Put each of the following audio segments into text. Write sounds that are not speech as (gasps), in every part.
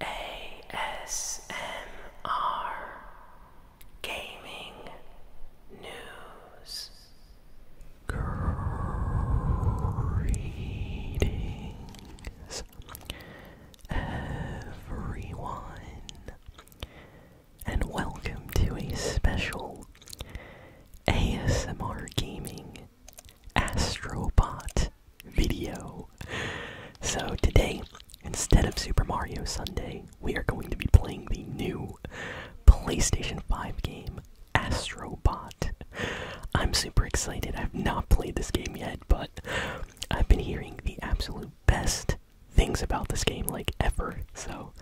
ASMR Gaming News Greetings everyone and welcome to a special ASMR Gaming Astrobot video. So today, instead of Super Mario Sunday, we are going to be playing the new PlayStation 5 game, Astrobot. I'm super excited. I've not played this game yet, but I've been hearing the absolute best things about this game like ever. So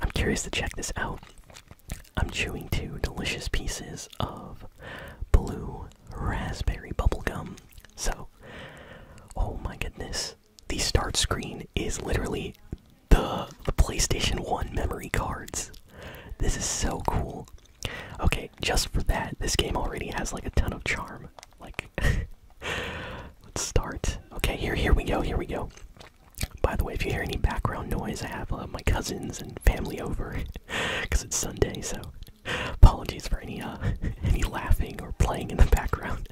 I'm curious to check this out. I'm chewing two delicious pieces of blue raspberry bubblegum. So, oh my goodness. The start screen is literally the, the PlayStation 1 memory cards. This is so cool. Okay, just for that, this game already has like a ton of charm. Like, (laughs) let's start. Okay, here, here we go, here we go. By the way, if you hear any background noise, I have uh, my cousins and family over. (laughs) because it's Sunday. So apologies for any uh, (laughs) any laughing or playing in the background.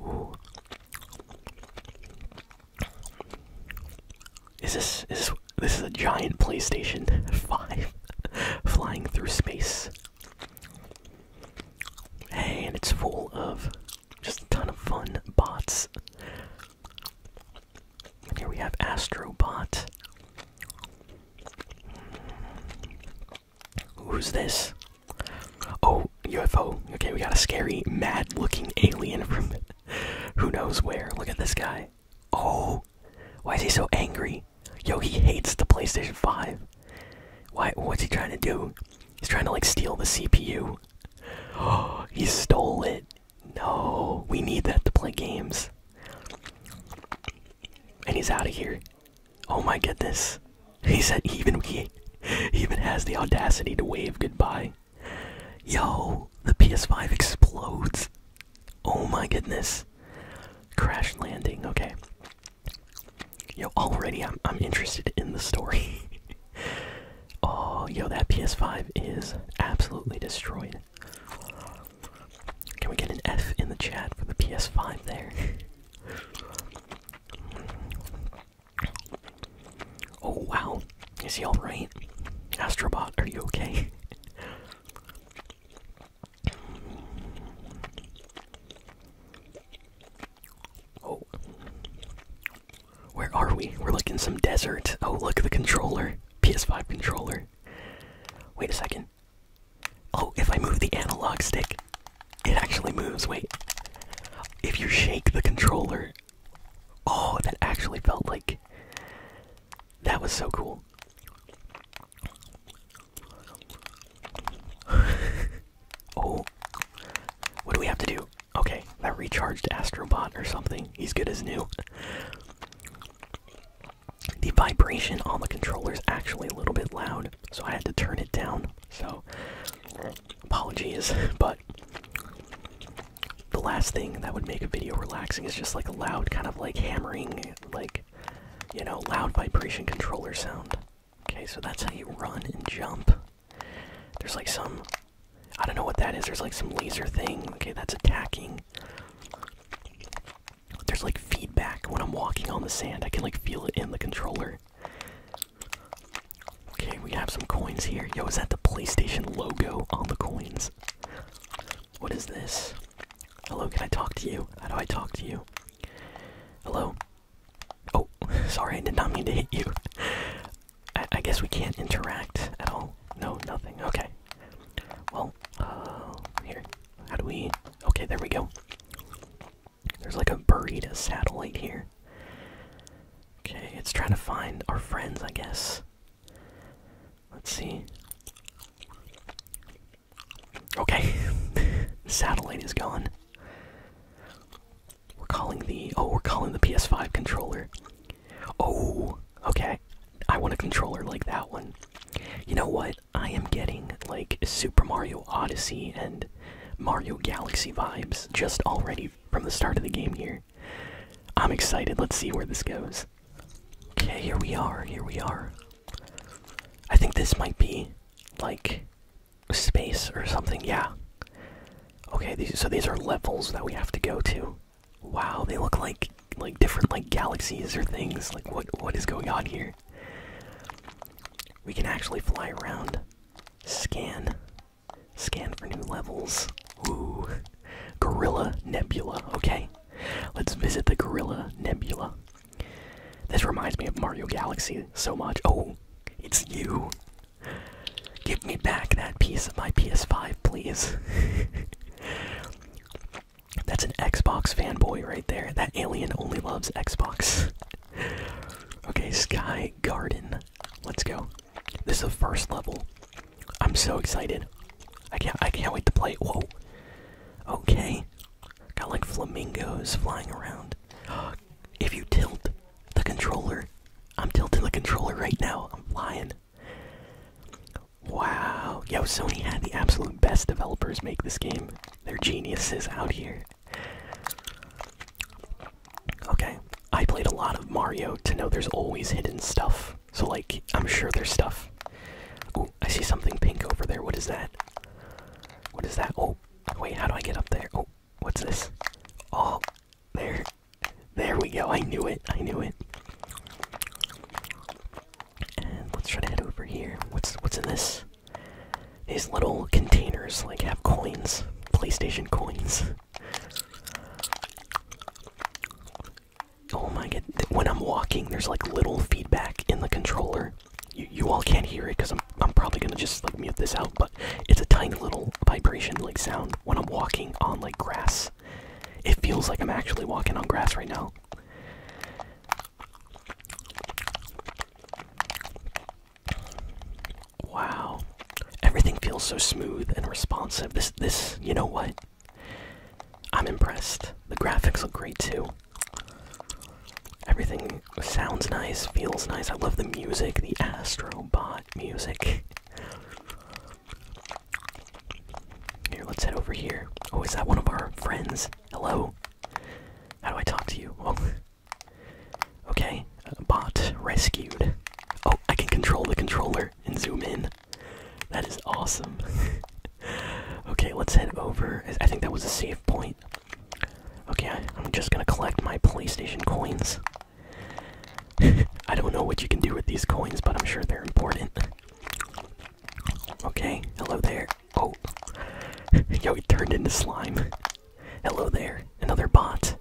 Ooh. Is this is this, is a giant PlayStation (laughs) Five flying through space? and it's full of just a ton of fun bots here we have Astrobot. Who's this? Oh, UFO. Okay, we got a scary, mad looking alien from (laughs) who knows where. Look at this guy. Oh, why is he so angry? Yo, he hates the PlayStation 5. Why? What's he trying to do? He's trying to like steal the CPU. Oh, (gasps) he stole it. No, we need that to play games. And he's out of here. Oh my goodness. He said even he, even has the audacity to wave goodbye. Yo, the PS5 explodes. Oh my goodness. Crash landing, okay. Yo, already I'm I'm interested in the story. (laughs) oh, yo, that PS5 is absolutely destroyed. Can we get an F in the chat for the PS5 there? oh wow, is he alright? Astrobot, are you okay? (laughs) oh. Where are we? We're looking some desert. Oh, look, at the controller. PS5 controller. Wait a second. Oh, if I move the analog stick, it actually moves. Wait. If you shake the controller. Oh, that actually felt like. That was so cool. (laughs) oh. What do we have to do? Okay, that recharged Astrobot or something. He's good as new. The vibration on the controller is actually a little bit loud, so I had to turn it down. So, apologies, (laughs) but the last thing that would make a video relaxing is just like a loud, kind of like hammering, like, you know, loud vibration controller sound. Okay, so that's how you run and jump. There's like some I don't know what that is. There's like some laser thing. Okay, that's attacking. There's like feedback when I'm walking on the sand. I can like feel it in the controller. Okay, we have some coins here. Yo, is that the PlayStation logo on the coins? What is this? Hello, can I talk to you? How do I talk to you? Hello? Oh, (laughs) sorry, I did not mean to hit you. I, guess we can't interact at all. No, nothing. Okay. Well, uh, here. How do we. Okay, there we go. There's like a buried satellite here. Okay, it's trying to find our friends, I guess. Let's see. Okay, (laughs) satellite is gone. We're calling the oh, we're calling the PS5 controller. Oh, okay. I want a controller like that one. You know what? I am getting like Super Mario Odyssey and Mario Galaxy vibes just already from the start of the game here. I'm excited. Let's see where this goes. Okay, here we are. Here we are. I think this might be like space or something. Yeah. Okay, so these are levels that we have to go to. Wow, they look like like different like galaxies or things. Like what what is going on here? We can actually fly around. Scan. Scan for new levels. Ooh. Gorilla Nebula. Okay. Let's visit the Gorilla Nebula. This reminds me of Mario Galaxy so much. Oh, it's you. Give me back that piece of my PS5, please. (laughs) That's an Xbox fanboy right there. That alien only loves Xbox. okay, Sky Garden. Let's go. This is the first level. I'm so excited. I can't I can't wait to play. Whoa. Okay. Got like flamingos flying around. (gasps) If you tilt, the controller. I'm tilting the controller right now. I'm lying. Wow. Yo, Sony had the absolute best developers make this game. They're geniuses out here. Okay. I played a lot of Mario to know there's always hidden stuff. So, like, I'm sure there's stuff. Ooh, I see something pink over there. What is that? What is that? Oh, wait, how do I get up there? Oh, What's this? Oh, there. There we go. I knew it. I knew it. And let's try to head over here. What's what's in this? These little containers like have coins, PlayStation coins. Oh my god! When I'm walking, there's like little feedback in the controller. You you all can't hear it because I'm I'm probably gonna just mute this out, but it's a tiny little vibration like sound when I'm walking on like grass. It feels like I'm actually walking on grass right now. Wow. Everything feels so smooth and responsive. This this, you know what? I'm impressed. The graphics look great too. Everything sounds nice, feels nice. I love the music, the Astrobot music. Here, let's head over here. Oh, is that one of our friends? Hello? How do I talk to you? Oh. Okay, bot rescued. Oh, I can control the controller and zoom in. That is awesome. (laughs) okay, let's head over. I think that was a safe point. Okay, I'm just gonna collect my PlayStation coins. (laughs) I don't know what you can do with these coins, but I'm sure they're important. Okay, hello there. Oh. (laughs) Yo, he turned into slime. Hello there. Another bot.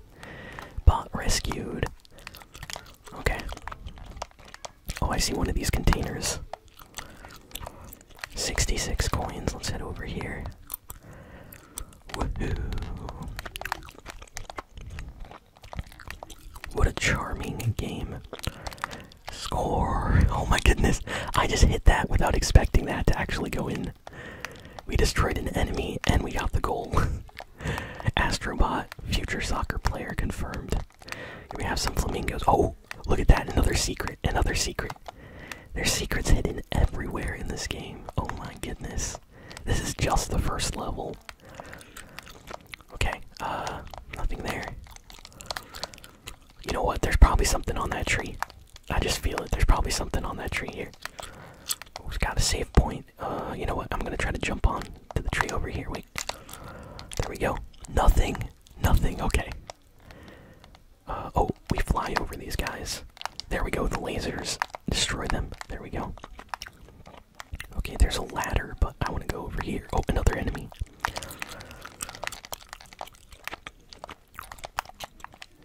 Bot rescued. Okay. Oh, I see one of these containers. 66 coins. Let's head over here. Woohoo. What a charming game. Score! Oh my goodness, I just hit that without expecting that to actually go in. We destroyed an enemy and we got the goal. (laughs) Astrobot, future soccer player confirmed. We have some flamingos. Oh, look at that, another secret, another secret. There's secrets hidden everywhere in this game. Oh my goodness this. is just the first level. Okay, uh, nothing there. You know what? There's probably something on that tree. I just feel it. There's probably something on that tree here. We oh, it got a safe point. Uh, you know what? I'm gonna try to jump on to the tree over here. Wait. There we go. Nothing. Nothing. Okay. Uh, oh, we fly over these guys. There we go, the lasers. Destroy them. There we go. Okay, there's a ladder, but I want to go over here. Oh, another enemy.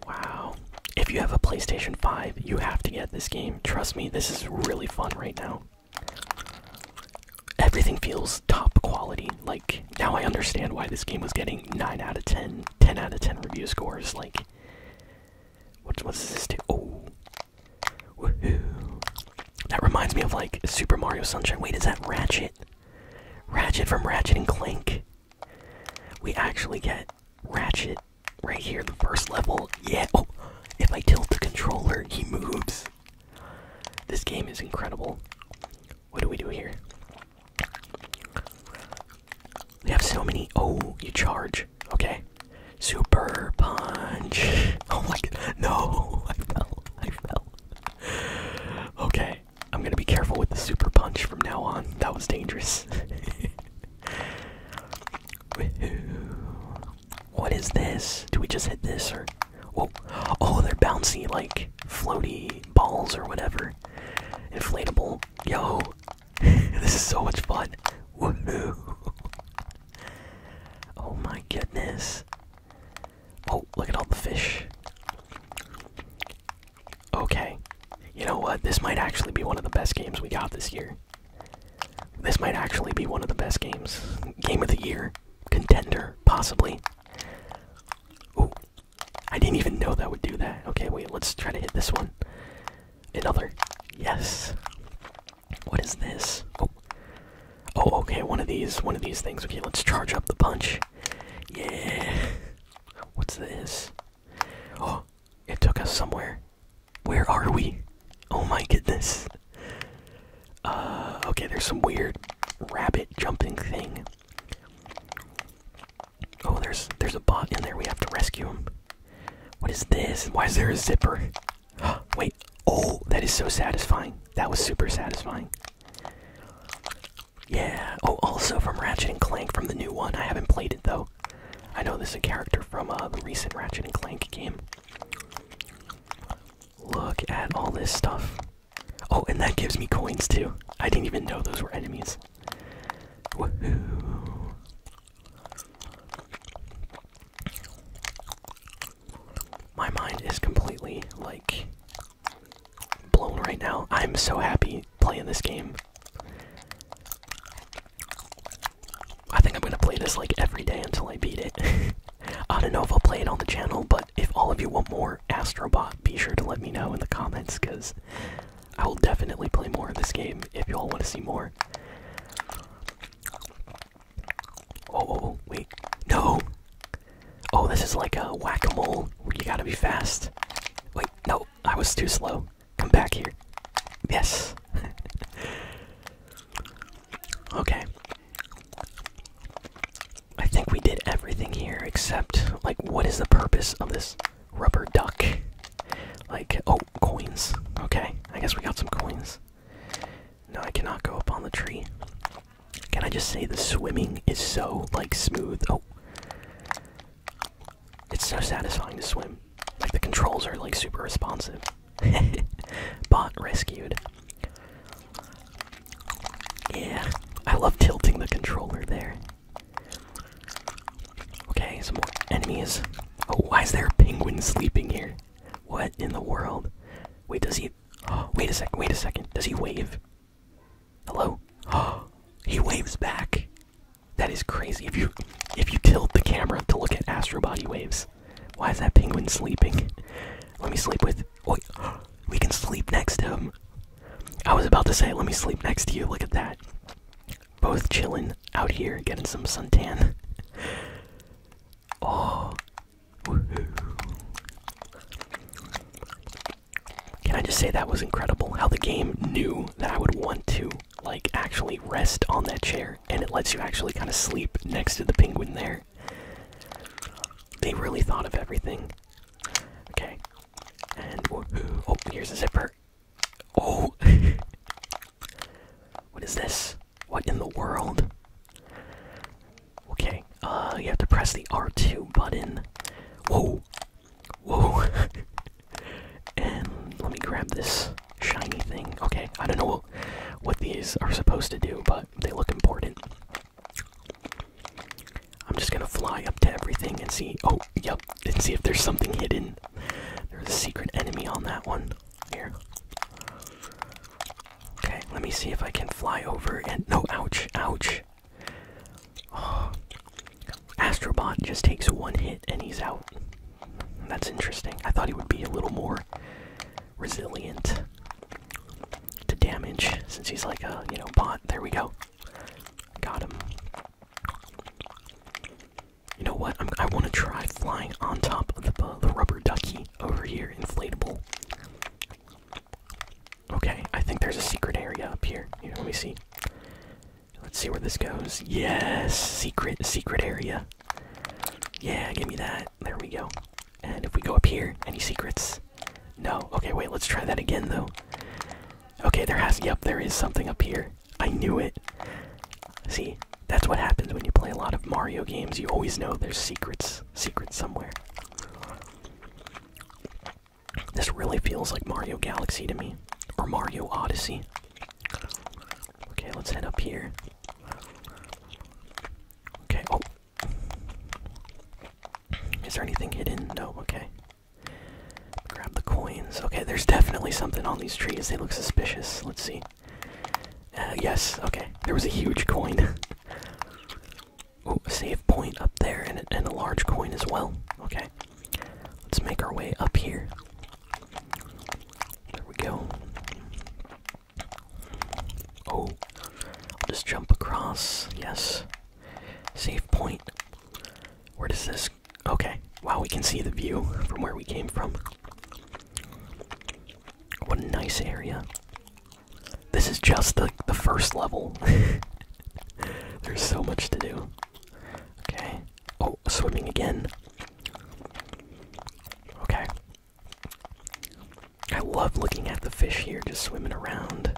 Wow. If you have a PlayStation 5, you have to get this game. Trust me, this is really fun right now. Everything feels top quality. Like, now I understand why this game was getting 9 out of 10, 10 out of 10 review scores. Like, What's this do? Oh. Woohoo. That reminds me of like Super Mario Sunshine. Wait, is that Ratchet? Ratchet from Ratchet and Clank. We actually get Ratchet right here, the first level. Yeah. Oh, if I tilt the controller, he moves. This game is incredible. What do we do here? We have so many. Oh, you charge. Okay. Super punch. (laughs) Oh my god. No, (laughs) I fell. I fell. Okay. I'm gonna be careful with the super punch from now on. That was dangerous. (laughs) what is this? Do we just hit this or. Whoa. Oh, they're bouncy, like floaty balls or whatever. Inflatable. Yo, (laughs) this is so much fun. (laughs) Oh my goodness. Oh, look at all the fish. Okay. You know what? This might actually be one of the best games we got this year. This might actually be one of the best games. Game of the year. Contender, possibly. I didn't even know that would do that. Okay, wait, let's try to hit this one. Another. Yes. What is this? Oh. Oh, okay, one of these, one of these things. Okay, let's charge up the punch. Yeah. What's this? Oh, it took us somewhere. Where are we? Oh my goodness. Uh, okay, there's some weird rabbit jumping thing. Oh, there's there's a bot in there. We have to rescue him. What is this? Why is there a zipper? (gasps) Wait. Oh, that is so satisfying. That was super satisfying. Yeah. Oh, also from Ratchet and Clank from the new one. I haven't played it though. I know this is a character from uh, the recent Ratchet and Clank game. Look at all this stuff. Oh, and that gives me coins too. I didn't even know those were enemies. Woohoo! My mind is completely like blown right now. I'm so happy playing this game. I think I'm gonna play this like every day until I beat it. (laughs) I don't know if I'll play it on the channel, but if all of you want more Astrobot, be sure to let me know in the comments because I will definitely play more of this game if y'all want to see more. Oh, oh, oh, wait. No! Oh, this is like a whack a mole you gotta be fast. Wait, no, I was too slow. Come back here. Yes. (laughs) okay. I think we did everything here except, like, what is the purpose of this? rubber duck. Like, oh, coins. Okay, I guess we got some coins. No, I cannot go up on the tree. Can I just say the swimming is so, like, smooth? Oh. It's so satisfying to swim. Like, the controls are, like, super responsive. (laughs) Bot rescued. Yeah, I love tilting the controller there. Okay, some more enemies. Oh, why is there a penguin sleeping here? What in the world? Wait, does he. (gasps) wait a second, wait a second. Does he wave? Hello? Oh, (gasps) he waves back. That is crazy. If you if you tilt the camera to look at astro body waves, why is that penguin sleeping? Let me sleep with. Wait, (gasps) we can sleep next to him. I was about to say, let me sleep next to you. Look at that. Both chilling out here, getting some suntan. oh. Can I just say that was incredible? How the game knew that I would want to, like, actually rest on that chair, and it lets you actually kind of sleep next to the penguin there. They really thought of everything. Okay. And Oh, here's a zipper. Oh! (laughs) what is this? What in the world? Okay, uh, you have to press the R2 button. Whoa! Whoa! (laughs) and let me grab this shiny thing. Okay, I don't know what these are supposed to do, but they look important. I'm just gonna fly up to everything and see. Oh, yep, and see if there's something hidden. There's a secret enemy on that one. Here. Okay, let me see if I can fly over and. No, ouch, ouch. Oh. (sighs) Astrobot just takes one hit and he's out. That's interesting. I thought he would be a little more resilient to damage since he's like a, you know, bot. There we go. Got him. You know what? i want to try flying on top of the, rubber ducky over here, inflatable. Okay, I think there's a secret area up here. Let me see. Let's see where this goes. Yes, secret, secret area. Yeah, give me that. There we go. And if we go up here, any secrets? No. Okay, wait, let's try that again, though. Okay, there has. Yep, there is something up here. I knew it. See, that's what happens when you play a lot of Mario games. You always know there's secrets, secrets somewhere. This really feels like Mario Galaxy to me, or Mario Odyssey. Okay, let's head up here. Okay. Oh, is there anything hidden? No. Okay. Grab the coins. Okay, there's definitely something on these trees. They look suspicious. Let's see. Uh, yes, okay. There was a huge coin. (laughs) oh, save point up there and, and a large coin as well. Okay. Let's make our way up here. There we go. Oh. just jump across. Yes. Save point. Where does this? Okay. Wow, we can see the view from where we came from. What a nice area. This is just the, the first level. (laughs) There's so much to do. Okay. Oh, swimming again. Okay. I love looking at the fish here just swimming around.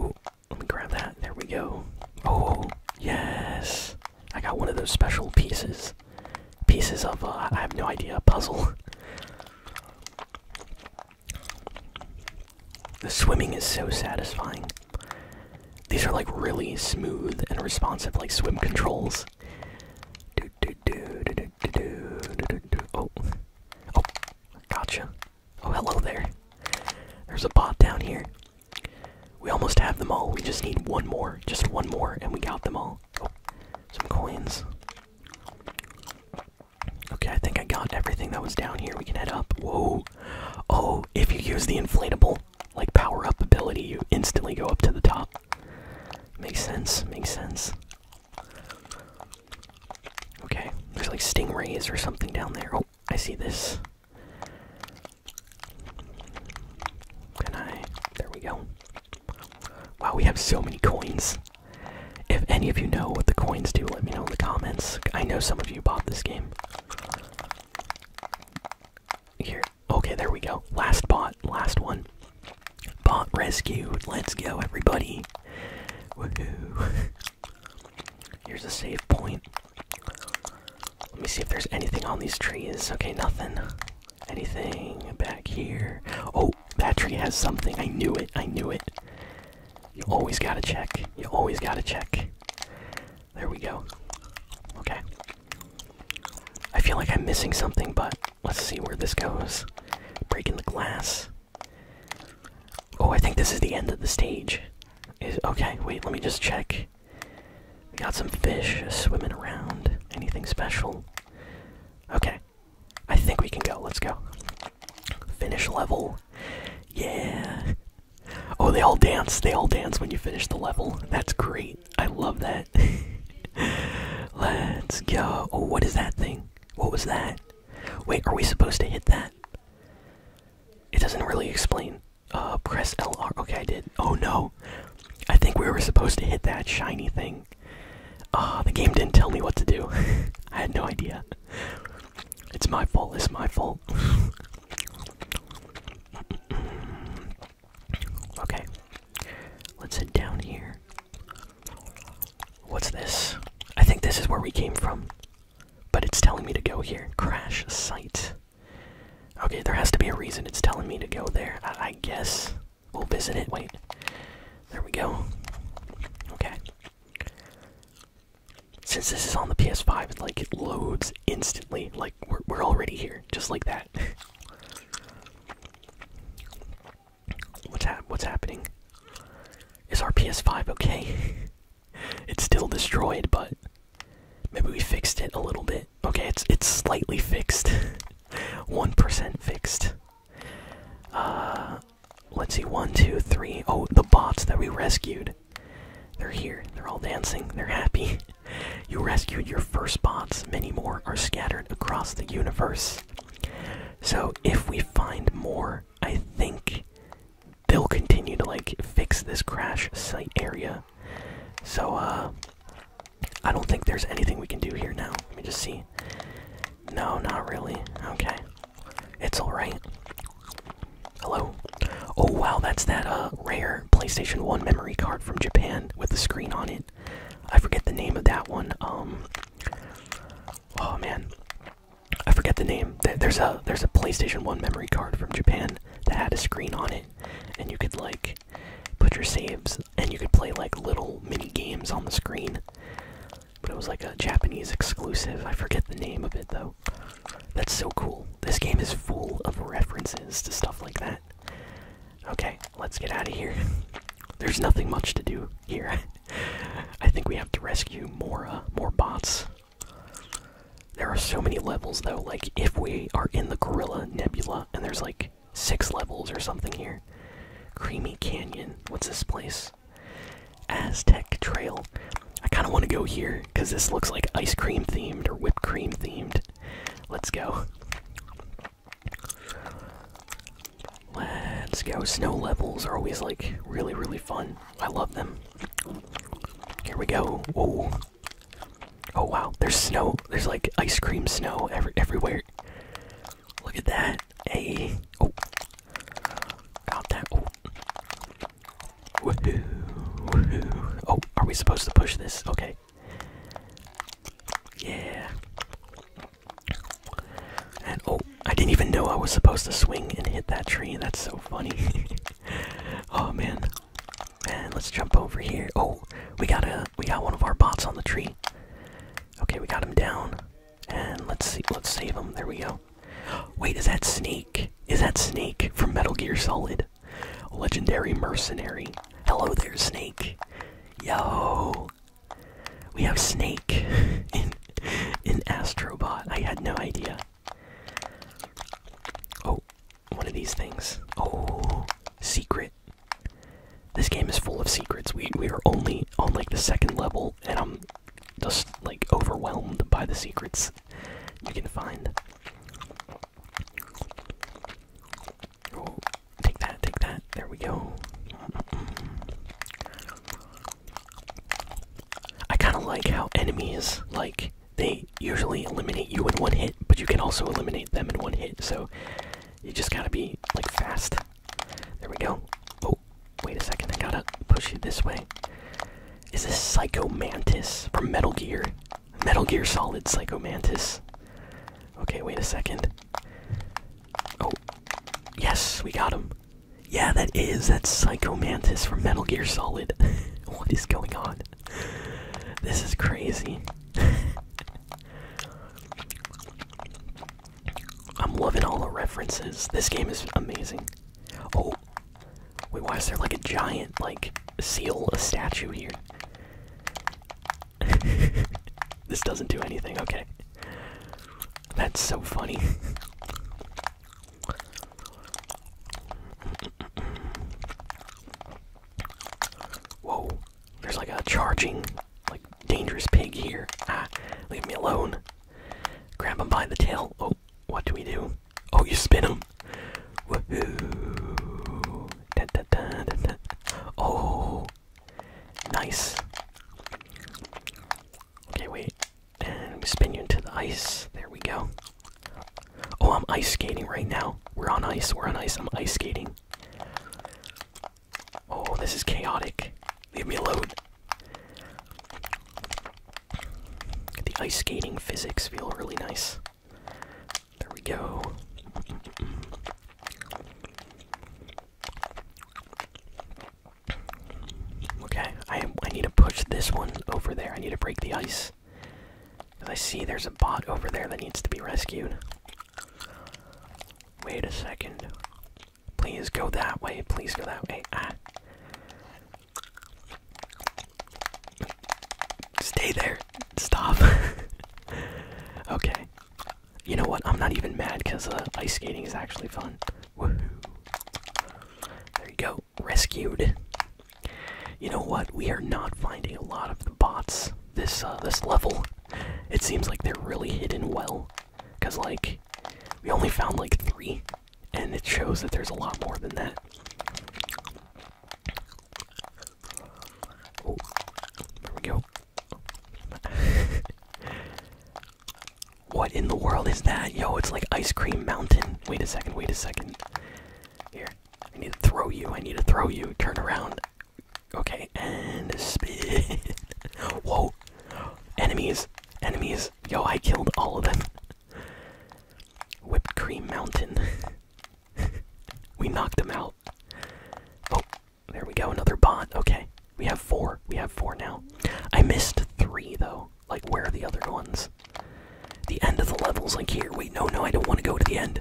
Ooh, let me grab that. There we go. Oh, yes. I got one of those special pieces. Pieces of, uh, I have no idea, a puzzle. The swimming is so satisfying. These are like really smooth and responsive, like swim controls. Do do do do do do do do. Oh, oh, gotcha. Oh, hello there. There's a bot down here. We almost have them all. We just need one more. Just one more, and we got them all. Oh, some coins. Okay, I think I got everything that was down here. We can head up. Whoa. Oh, if you use the inflatable, like power up ability, you instantly go up to the top. Makes sense, makes sense. Okay, there's like stingrays or something down there. Oh, I see this. Can I? There we go. Wow, we have so many coins. If any of you know what the coins do, let me know in the comments. I know some of you bought this game. Here. Okay, there we go. Last bot. Last one. Bot rescued. Let's go, everybody. (laughs) Here's a safe point. Let me see if there's anything on these trees. Okay, nothing. Anything back here? Oh, that tree has something. I knew it. I knew it. You always gotta check. You always gotta check. There we go. Okay. I feel like I'm missing something, but let's see where this goes. Breaking the glass. Oh, I think this is the end of the stage. okay, wait, let me just check. We got some fish swimming around. Anything special? Okay. I think we can go. Let's go. Finish level. Yeah. Oh, they all dance. They all dance when you finish the level. That's great. I love that. (laughs) Let's go. Oh, what is that thing? What was that? Wait, are we supposed to hit that? It doesn't really explain. Uh, press LR. Okay, I did. Oh no! I think we were supposed to hit that shiny thing. Ah, uh, the game didn't tell me what to do. (laughs) I had no idea. It's my fault. It's my fault. (laughs) okay. Let's head down here. What's this? I think this is where we came from. But it's telling me to go here. Crash site. Okay, there has to be a reason it's telling me to go there. I, guess we'll visit it. Wait. There we go. Okay. Since this is on the PS5, it, like, it loads instantly. Like, we're already here. Just like that. (laughs) What's ha what's happening? Is our PS5 okay? (laughs) it's still destroyed, but maybe we fixed it a little bit. Okay, it's it's slightly fixed. 1% (laughs) fixed. Uh let's see, one, two, three. Oh, the bots that we rescued. They're here. They're all dancing. They're happy. (laughs) you rescued your first bots. Many more are scattered across the universe. So if we find more, I think they'll continue to like fix this crash site area. So uh I don't think there's anything we can do here now. Let me just see. No, not really. Okay. It's alright. Hello. Oh wow, that's that uh rare PlayStation 1 memory card from Japan with the screen on it. I forget the name of that one. Um oh man, I forget the name. There's a there's a PlayStation One memory card from Japan that had a screen on it, and you could like put your saves, and you could play like little mini games on the screen. But it was like a Japanese exclusive. I forget the name of it though. That's so cool. This game is full of references to stuff like that. Okay, let's get out of here. (laughs) There's nothing much to do here. (laughs) I think we have to rescue more, uh, more bots. There are so many levels though, like if we are in the Gorilla Nebula, and there's like six levels or something here. Creamy Canyon, what's this place? Aztec Trail. I kind of want to go here, because this looks like ice cream themed or whipped cream themed. Let's go. Let's go. Snow levels are always like really, really fun. I love them. Here we go. Whoa. Oh wow, there's snow. There's like ice cream snow everywhere. Look at that. Hey. Oh. Got that. Woohoo. Woohoo. Oh, are we supposed to push this? Okay. Yeah. And oh, I didn't even know I was supposed to swing and hit that tree. That's so funny. (laughs) oh man. And let's jump over here. Oh, we got a we got one of our bots on the tree. Okay, we got him down. And let's see let's save him. There we go. (gasps) Wait, is that Snake? Is that Snake from Metal Gear Solid? Legendary mercenary. Hello there, Snake. Yo. We have Snake (laughs) in an Astrobot. I had no idea. Oh, one of these things. Oh, secret. This game is full of secrets. We we are only on like the second level, and I'm just like overwhelmed by the secrets you can find. Oh, Take that, take that. There we go. I kind of like how enemies, like, they usually eliminate you in one hit, but you can also eliminate them in one hit, so you just gotta be, like, fast. There we go. Oh, wait a second, I gotta push you this way. Is this Psycho Mantis from Metal Gear? Metal Gear Solid Psycho Mantis. Okay, wait a second. Oh, Yes, we got him. Yeah, that is. That's Psycho Mantis from Metal Gear Solid. (laughs) what is going on? This is crazy. (laughs) I'm loving all the references. This game is amazing. Oh, wait, why is there like a giant, like, seal, statue here? (laughs) this doesn't do anything, okay. That's so funny. Whoa, there's like a charging, like dangerous pig here. Ah, leave me alone. Grab him by the tail. Oh, what do we do? Oh, you spin him. Oh, Nice. Okay, wait. And we spin you into the ice. There we go. Oh, I'm ice skating right now. We're on ice. We're on ice. I'm ice skating. Oh, this is chaotic. Leave me alone. The ice skating physics feel really nice. There we go. Okay, I I need to push this one over there. I need to break the ice. I see there's a bot over there that needs to be rescued. Wait a second. Please go that way. Please go that way. Ah. Stay there. Stop. (laughs) okay you know what? I'm not even mad because uh, ice skating is actually fun. There you go. Rescued. You know what? We are not finding a lot of the bots this uh, this level. It seems like they're really hidden well, cause like we only found like three, and it shows that there's a lot more than that. Oh. there we go what in the world is that? Yo, it's like Ice Cream Mountain. Wait a second, wait a second. Here, I need to throw you, I need to throw you. Turn around. Okay, and spin. (laughs) Whoa. Enemies, enemies. Yo, I killed all of them. Whipped Cream Mountain. (laughs) we knocked them out. Oh, there we go, another bot. Okay, we have four. We have four now. I missed three though. Like, where are the other ones? The end of the level's like here. Wait, no, no, I don't want to go to the end.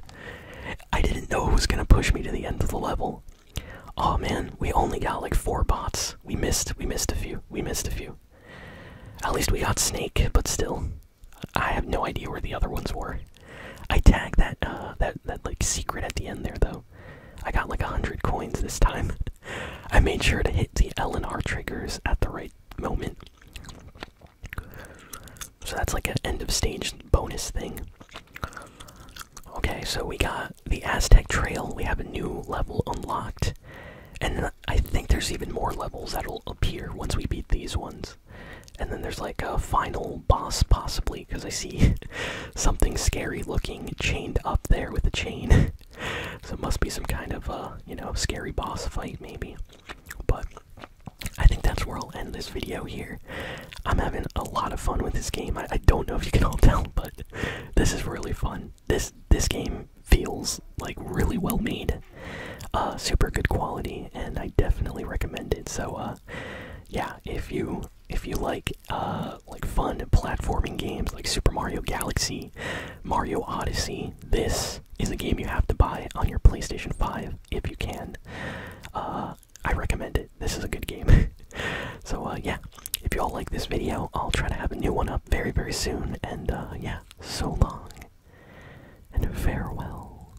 I didn't know it was gonna push me to the end of the level. Oh man, we only got like four bots. We missed. We missed a few. We missed a few. At least we got Snake, but still, I have no idea where the other ones were. I tagged that uh, that that like secret at the end there though. I got like a hundred coins this time. (laughs) I made sure to hit the L triggers at the right moment. So that's like an end of stage bonus thing. Okay, so we got the Aztec Trail. We have a new level unlocked. And I think there's even more levels that'll appear once we beat these ones. And then there's like a final boss, possibly, because I see (laughs) something scary looking chained up there with a chain. (laughs) so it must be some kind of, uh, you know, scary boss fight, maybe. But I think that's where I'll end this video here. I'm having a lot of fun with this game. I, don't know if you can all (laughs) tell, but this is really fun. This this game feels like really well made, uh, super good quality, and I definitely recommend it. So uh, yeah, if you if you like uh, like fun platforming games like Super Mario Galaxy, Mario Odyssey, this is a game you have to buy on your PlayStation 5 if you can. Uh, I recommend it. This is a good game. (laughs) so uh, yeah, if you all like this video, I'll try to have a new one up very very soon. And uh, yeah, so long and farewell.